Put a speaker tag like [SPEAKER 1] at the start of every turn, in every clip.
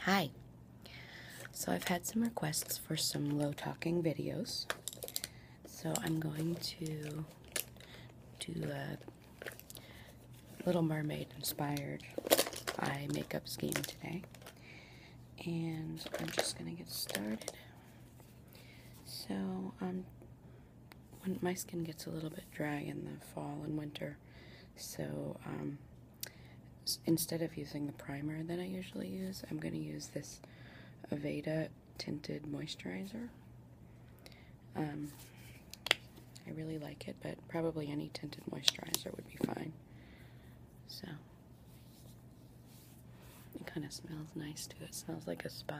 [SPEAKER 1] Hi. So I've had some requests for some low talking videos. So I'm going to do a Little Mermaid inspired eye makeup scheme today. And I'm just going to get started. So um, my skin gets a little bit dry in the fall and winter, so um, instead of using the primer that I usually use, I'm going to use this Aveda tinted moisturizer. Um, I really like it, but probably any tinted moisturizer would be fine. So, it kind of smells nice too. It smells like a spa.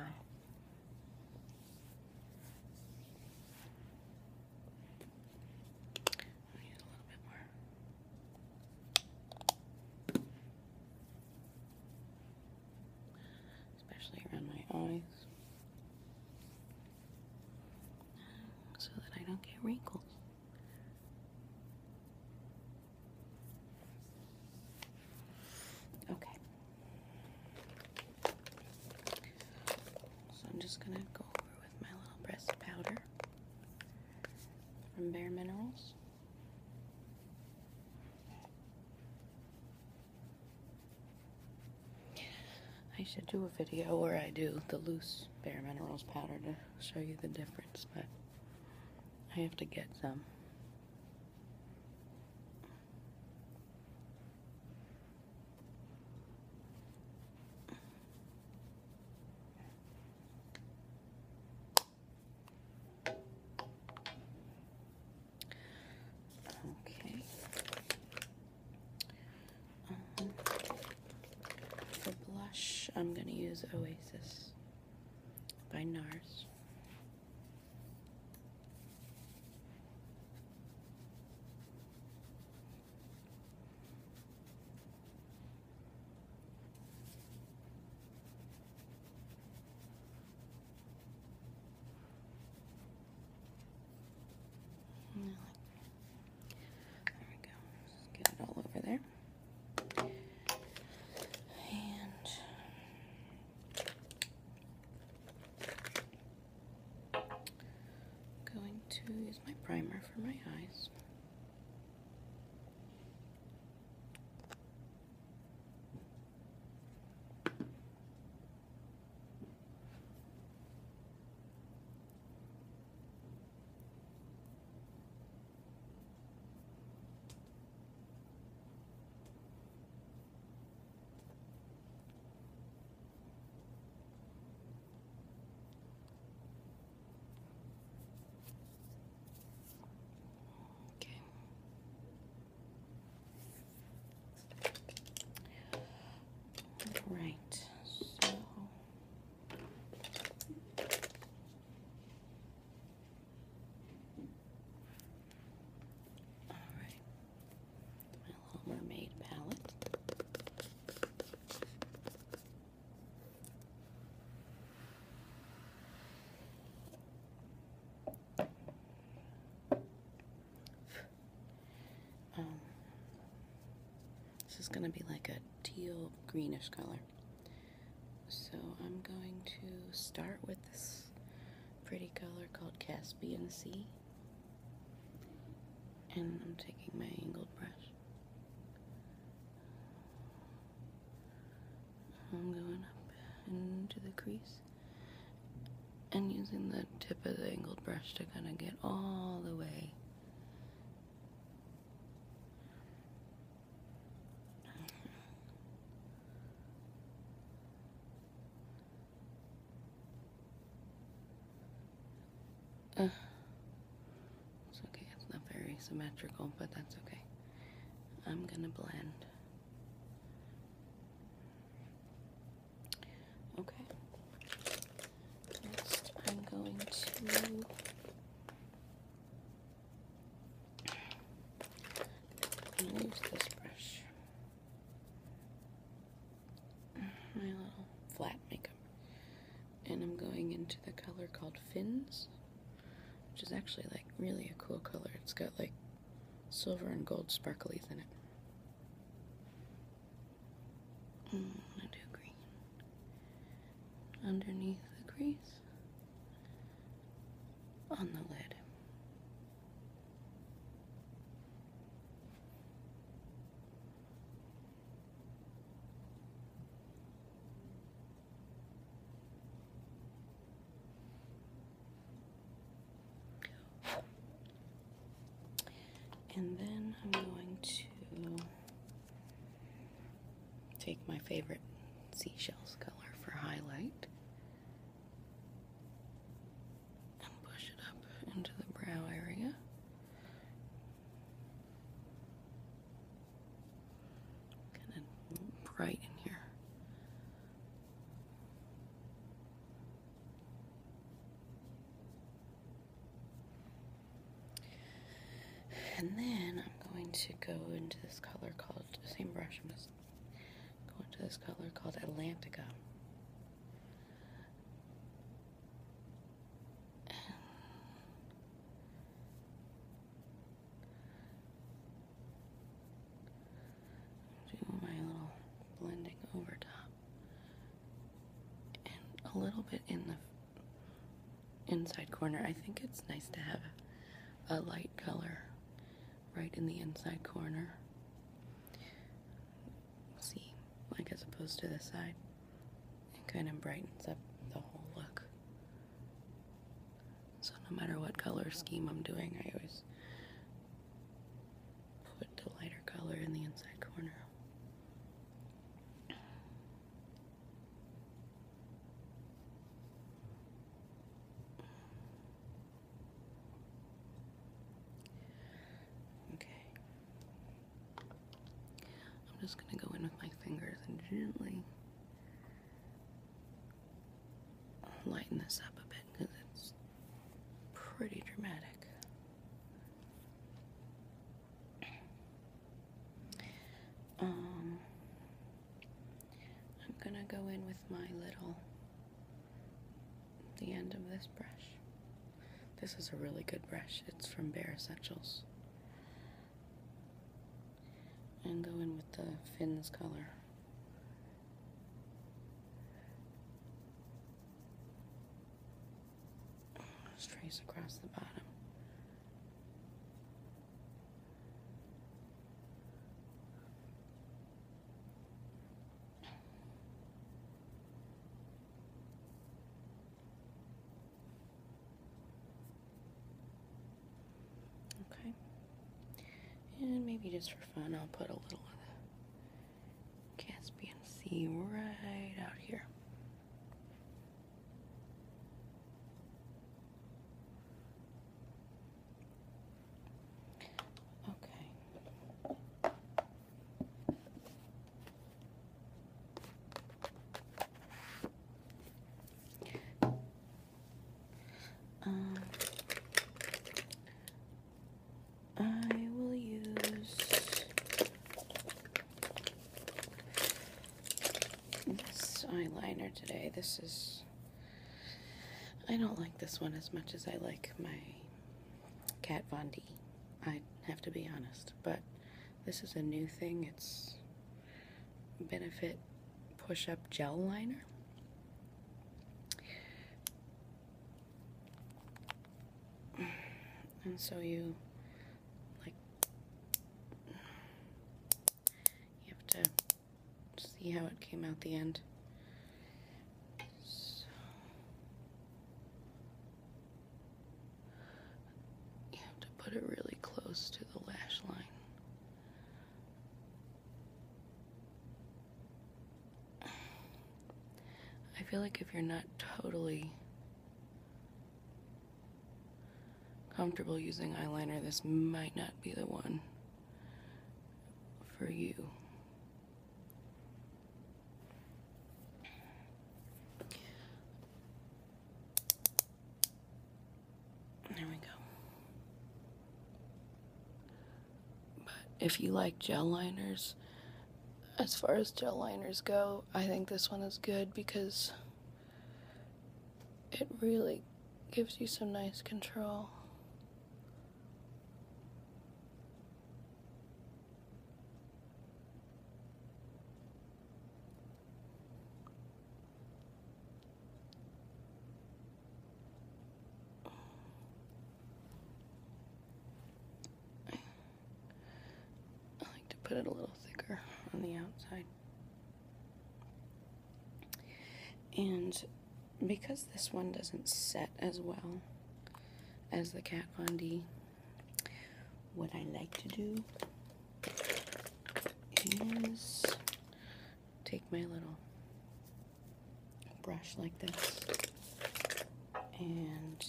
[SPEAKER 1] I a little bit more. Especially around my eyes. So that I don't get wrinkles. Okay. So I'm just going to go over with my little breast powder from Bare Minerals. I should do a video where I do the loose Bare Minerals powder to show you the difference, but I have to get some. Okay. for blush, I'm going to use Oasis by NARS. There we go. get it all over there. And I'm going to use my primer for my eyes. Okay. Right. So Alright. My Little Mermaid palette. Um, this is going to be like a teal greenish color. So I'm going to start with this pretty color called Caspian Sea. And I'm taking my angled brush. I'm going up into the crease and using the tip of the angled brush to kind of get all the way uh, it's okay, it's not very symmetrical, but that's okay. I'm gonna blend. Okay. Next, I'm going to Lose this brush. My little flat makeup. And I'm going into the color called Fins, which is actually like really a cool color. It's got like silver and gold sparklies in it. Mm, I do green. Underneath the crease on the lid. And then I'm going to take my favorite seashells color for highlight and push it up into the brow area. Kind of bright in here. And then I'm going to go into this color called same brush. I'm just going to this color called Atlantica. do my little blending over top and a little bit in the inside corner. I think it's nice to have a light color right in the inside corner. See, like as opposed to the side, it kind of brightens up the whole look. So no matter what color scheme I'm doing, I always put a lighter color in the inside corner. Okay. I'm just going to go in with my fingers and gently lighten this up a bit because it's pretty dramatic. Um, I'm gonna go in with my little, the end of this brush. This is a really good brush, it's from Bare Essentials. And go in with the fins color. trace across the bottom. Okay. And maybe just for fun, I'll put a little of the Caspian Sea right out here. Okay. Um, I will use this eyeliner today, this is. I don't like this one as much as I like my Kat Von D. I have to be honest, but this is a new thing. It's Benefit Push Up Gel Liner. And so you like you have to see how it came out the end. You have to put it really close to the lash line. I feel like if you're not totally comfortable using eyeliner, this might not be the one for you. There we go. But if you like gel liners, as far as gel liners go, I think this one is good because it really gives you some nice control. I like to put it a little thicker on the outside. And because this one doesn't set as well as the Kat Von D, what I like to do is take my little brush like this and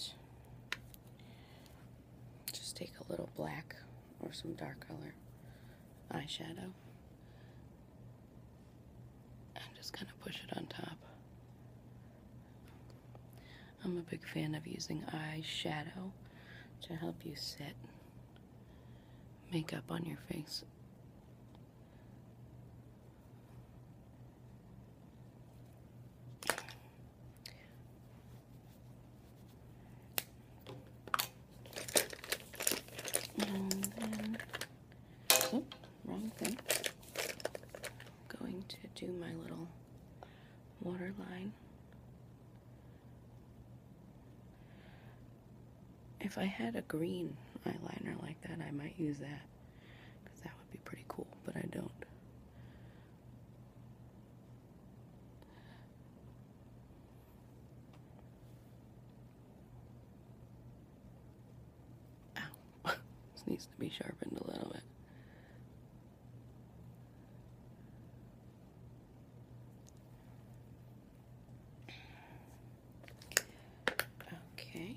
[SPEAKER 1] just take a little black or some dark color eyeshadow. and just kind of push it on top. I'm a big fan of using eyeshadow to help you set makeup on your face wrong thing. I'm going to do my little water line. If I had a green eyeliner like that, I might use that because that would be pretty cool, but I don't. Ow. this needs to be sharpened a little bit. Okay.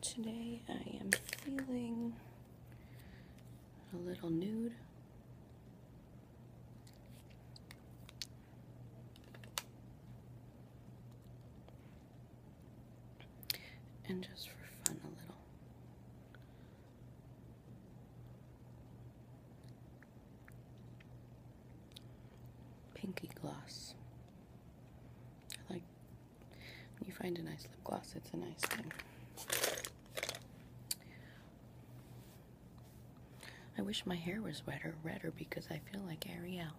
[SPEAKER 1] Today I am feeling a little nude. And just for fun, a little Pinky gloss. I like when you find a nice lip gloss, it's a nice thing. I wish my hair was wetter, redder because I feel like Ariel.